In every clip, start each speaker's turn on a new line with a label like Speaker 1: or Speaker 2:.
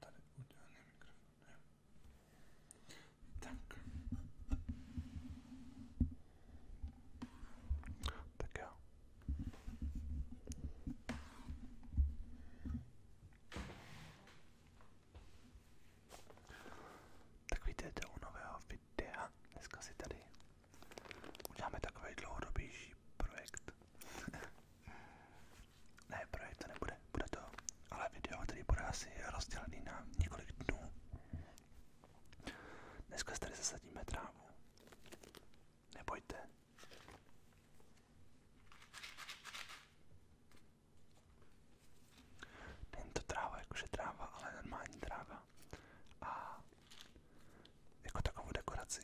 Speaker 1: Tady udělaný mikrofon, jo. Tak. Tak jo. Tak vítejte u nového videa. Dneska si tady uděláme takový dlouhodobější projekt. Ne, projekt to nebude, bude to, ale video, který bude asi rozdělený na několik dnů. Dneska tady zasadíme trávu. Nebojte. Není to tráva, jakože tráva, ale normální tráva. A jako takovou dekoraci.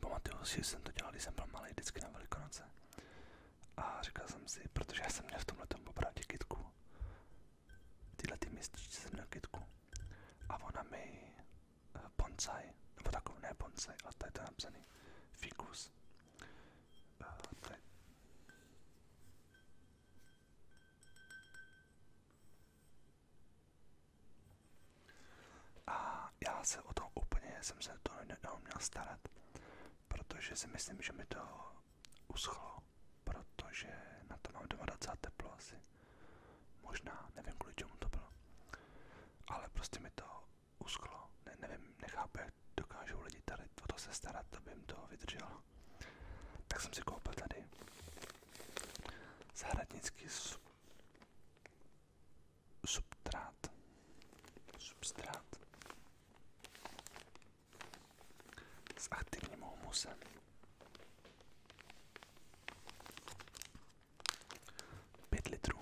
Speaker 1: Pamatuju si, že jsem to dělal, když jsem byl malý vždycky na Velikonoce. A říkal jsem si, protože já jsem měl v tomhle opravdu kytku. Tyhle ty mistrčky jsem měl kytku. A ona mi eh, bonsai, nebo takový ne bonsai, ale tady to je napsaný fikus. Eh, a já se o to úplně jsem se to neuměl starat, protože si myslím, že mi to uschlo, protože na to mám 22 teplo asi. Možná, nevím kvůli čemu to bylo. Ale prostě mi to uschlo. Ne, nevím, nechápu, jak dokážou lidi tady o to se starat, aby jim to vydrželo. Tak jsem si koupil tady zahradnický substrát. Substrát s aktivním humusem. Pět litrů.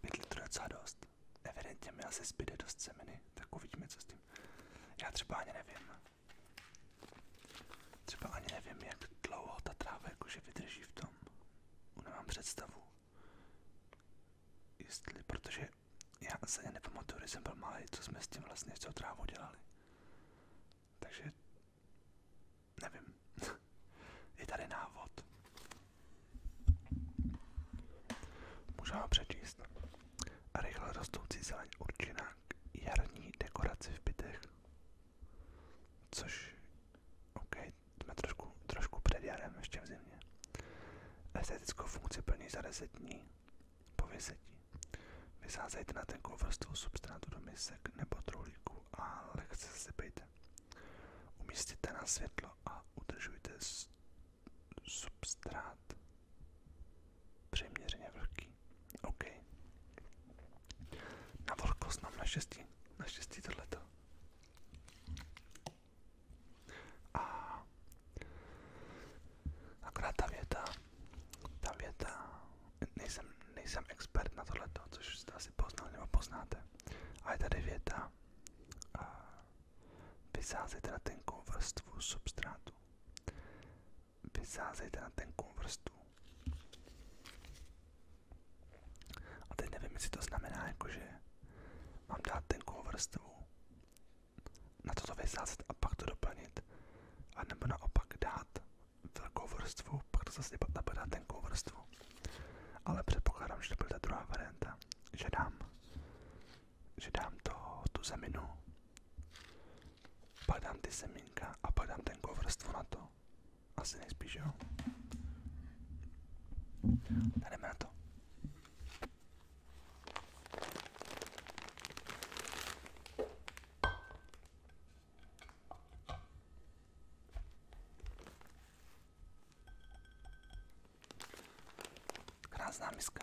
Speaker 1: Pět litrů je docela dost. Evidentně mi asi zbyde dost semeny, tak uvidíme, co s tím. Já třeba ani nevím. Třeba ani nevím, jak dlouho ta tráva jakože vydrží v tom. Nemám představu. Jestli, protože já se nepamatuju, když jsem byl malý, co jsme s tím vlastně co trávou dělali. Takže nevím. Je tady návod. Můžeme ho přečíst. A rychle rostoucí zeleň určená k jarní dekoraci v bytech, Což, OK, jsme trošku, trošku před jarem, ještě v zimě. Estetickou funkci plní za 10 dní po vysetí. Vysázejte na ten vrstvu substrátu do misek nebo truhlíku a lehce zasypejte. Umístěte na světlo a udržujte substrát přiměřeně vlhký. OK. Na vlhkost nám naštěstí naštěstí tohleto. A akorát ta věta, ta věta, nejsem, nejsem expert na tohleto, což jste asi poznáte. A tady věta, a vysázejte na tenkou vrstvu substrátu. Vysázejte na tenkou vrstvu a teď nevím, jestli to znamená, jakože mám dát tenkou vrstvu, na toto vysázet a pak to doplnit, a nebo naopak dát velkou vrstvu, pak to zase napadá tenkou vrstvu. Ale předpokládám, že to bude ta druhá varianta, že dám, že dám to, tu zeminu, padám dám ty semínka a padám dám tenkou vrstvu na to. Asi nejspíš, jo? A jdeme na to. Krásná miska.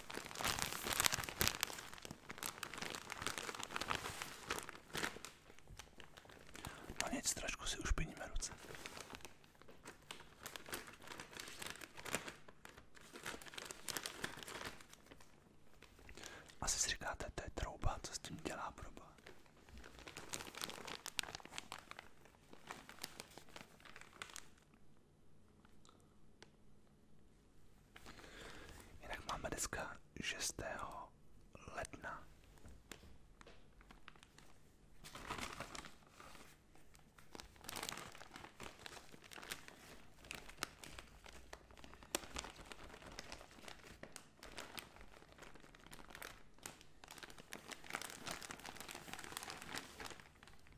Speaker 1: No nic, trošku si už piníme ruce. Asi si říkáte, to je trouba, co s tím dělá proba. Jinak máme dneska 6. ledna.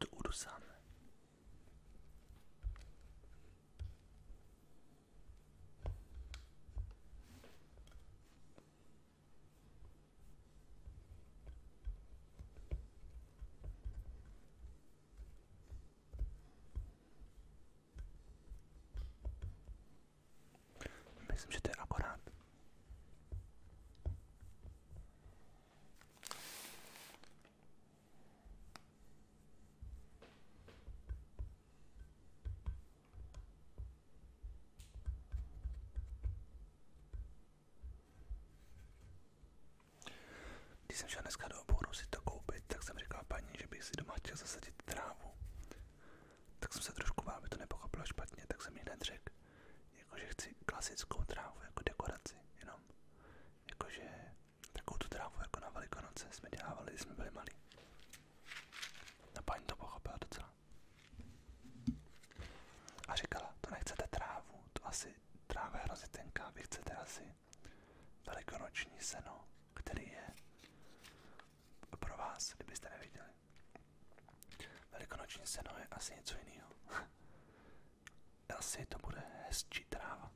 Speaker 1: to udusáme. Myslím, že to je akorát. Když jsem dneska do oboru si to koupit, tak jsem říkal paní, že bych si doma chtěl zasadit trávu. Tak jsem se trošku bál, aby to nepochopila špatně, tak jsem jí hned jakože chci klasickou trávu jako dekoraci, jenom jakože takovou tu trávu jako na Velikonoce jsme dělávali, když jsme byli malí. A paní to pochopila docela. A říkala, to nechcete trávu, to asi tráva je hrozně tenká, vy chcete asi velikonoční seno, který je pro vás, kdybyste neviděli. Velikonoční seno je asi něco jiného. asi to bude hezčí tráva.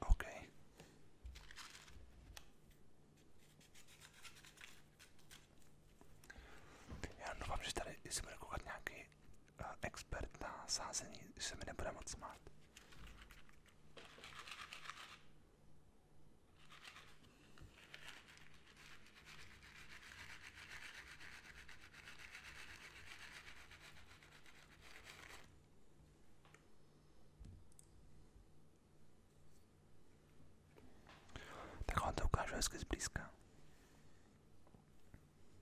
Speaker 1: OK. Já doufám, že tady si bude koukat nějaký expert na sázení, se mi nebude moc smát. Tak on to ukážu hezky zblízka.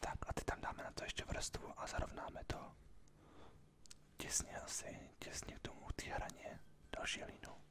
Speaker 1: Tak a teď tam dáme na to ještě vrstvu a zarovnáme to těsně asi, těsně k tomu té hraně další hlínu.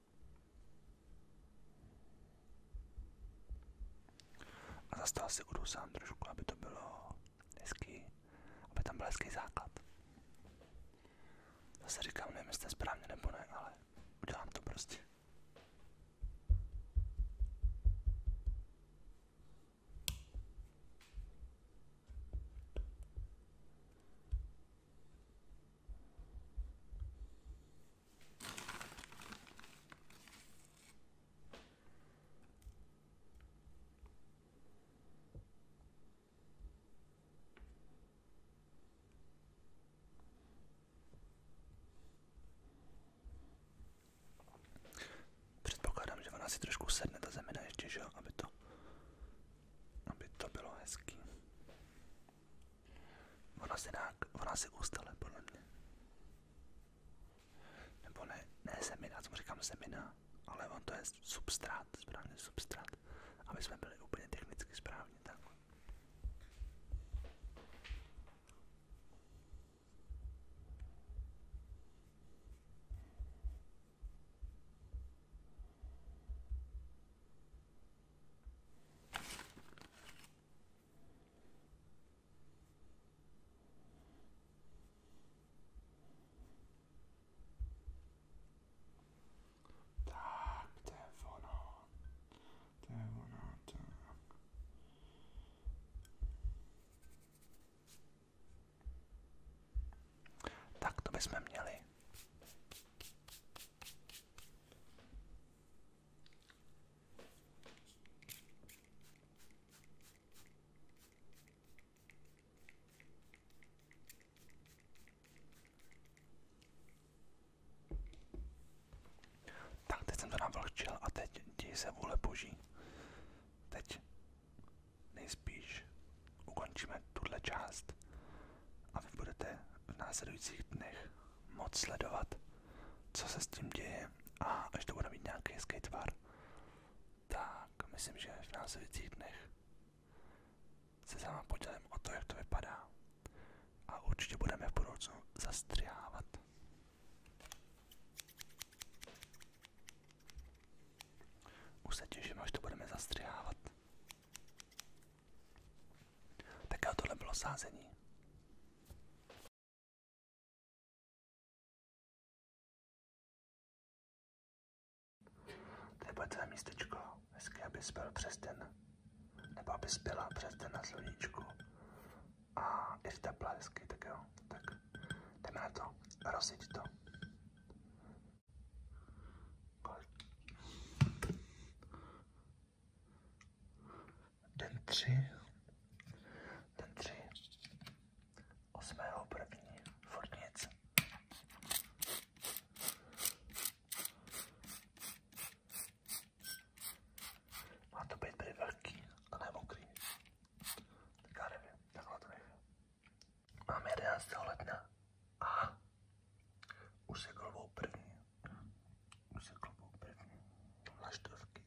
Speaker 1: A zase si udusám trošku, aby to bylo hezký, aby tam byl hezký základ. Zase říkám, nevím, jestli to správně nebo ne, ale udělám to prostě. Předpokládám, že ona si trošku sedne ta zemina ještě, že jo, aby to, aby to bylo hezký. Ona si, dá, ona si ustale, podle mě. Nebo ne, ne semina, co říkám semina, ale on to je substrát, správně substrát, aby jsme byli úplně technicky správně, tak. Tak, to je ono. To je ono, to Tak to bychom měli. Tak, teď jsem to navlhčil a teď děj se vůle boží. Teď nejspíš ukončíme tuhle část a vy budete v následujících dnech moc sledovat, co se s tím děje a až to bude mít nějaký hezký tvar, tak myslím, že v následujících dnech se s podělím o to, jak to vypadá a určitě budeme v budoucnu zastřihávat. Už se těším, až to budeme zastřihávat. Tak jo, tohle bylo sázení. To je bude tvé místečko. Hezky, abys byl přes den. Nebo aby spěla přes den na sluníčku. A i v teplé hezky, tak jo. Tak jdeme na to. Rozjeď to. Den 3. Den 3. 8. první. Furt nic. Má to být být velký a ne mokrý. Tak já nevím, takhle to nevím. Mám 11. letna a už se kolbou první se kloboutek vlaštovky.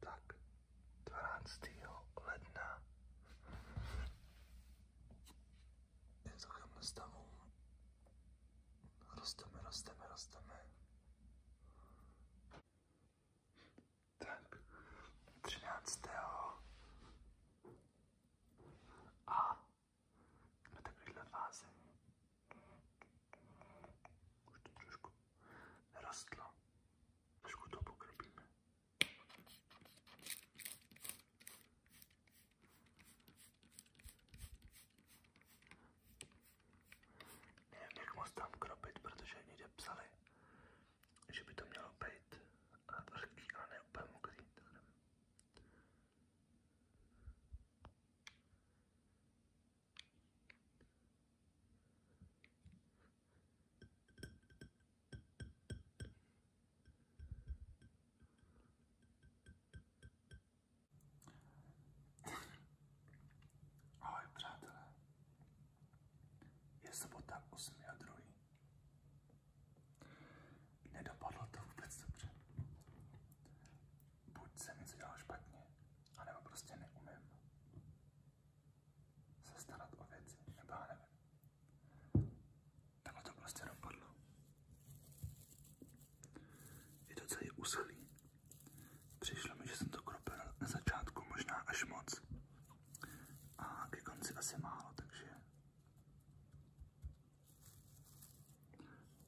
Speaker 1: Tak, 12. ledna je v takovém stavu. Rosteme, rosteme, rosteme tak 13. A na takovéhle fázi už to trošku rostlo, trošku to pokropíme. Nevím, jak moc tam kropit, protože někde psali, že by to mělo být vlhký, ale ne úplně mokrý. Takhle. Ahoj přátelé, je sobota 8.2. Nedopadlo to vůbec dobře. Buď jsem něco dělal špatně, anebo prostě neumím se starat o věci, nebo já nevím. Takhle to prostě dopadlo. Je to celý úsilí. Přišlo mi, že jsem to kropil na začátku možná až moc a ke konci asi málo, takže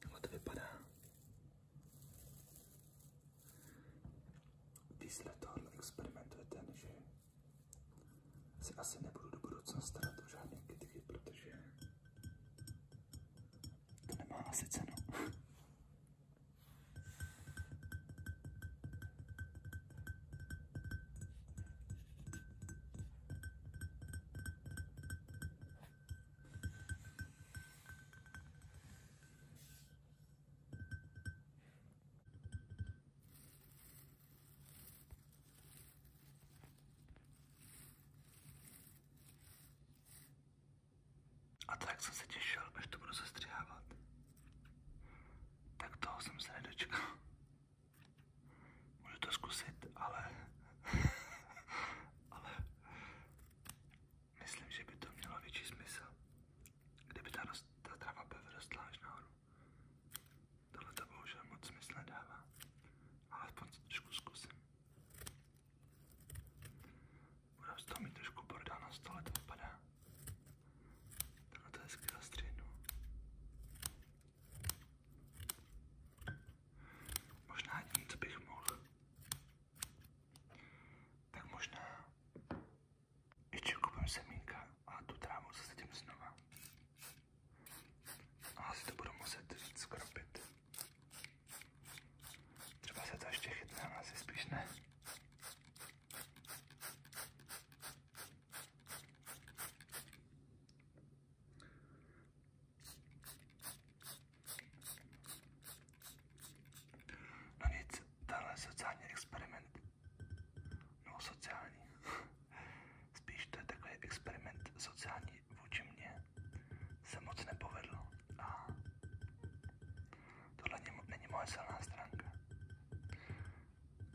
Speaker 1: takhle to vypadá. Když si tohle experimentujete, že si asi nebudu do budoucna starat o žádné kytky, protože to nemá asi cenu. A tak jsem se těšil, až to budu sestřihávat tak toho jsem se nedočkal. Můžu to zkusit, ale... ale... Myslím, že by to mělo větší smysl, kdyby ta, rost, ta trava by vyrostla až nahoru. Tohle to bohužel moc smysl nedává, ale aspoň to trošku zkusím. Budu z toho mít trošku bordel na stole, to vypadá. Takhle to hezky zastřihnu. Možná tím, co bych mohl, tak možná ještě koupím semínka a tu trávu zasadím znova. A asi to budu muset víc skropit. Třeba se to ještě chytne, ale asi spíš ne. No nic, tenhle sociální experiment, no sociální, spíš to je takový experiment sociální vůči mně, se moc nepovedl a tohle není moje silná stránka.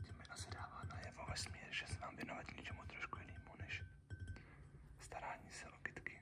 Speaker 1: Tím se dává najevo vesmír, že se mám věnovat něčemu trošku jinému než starání se o kytky.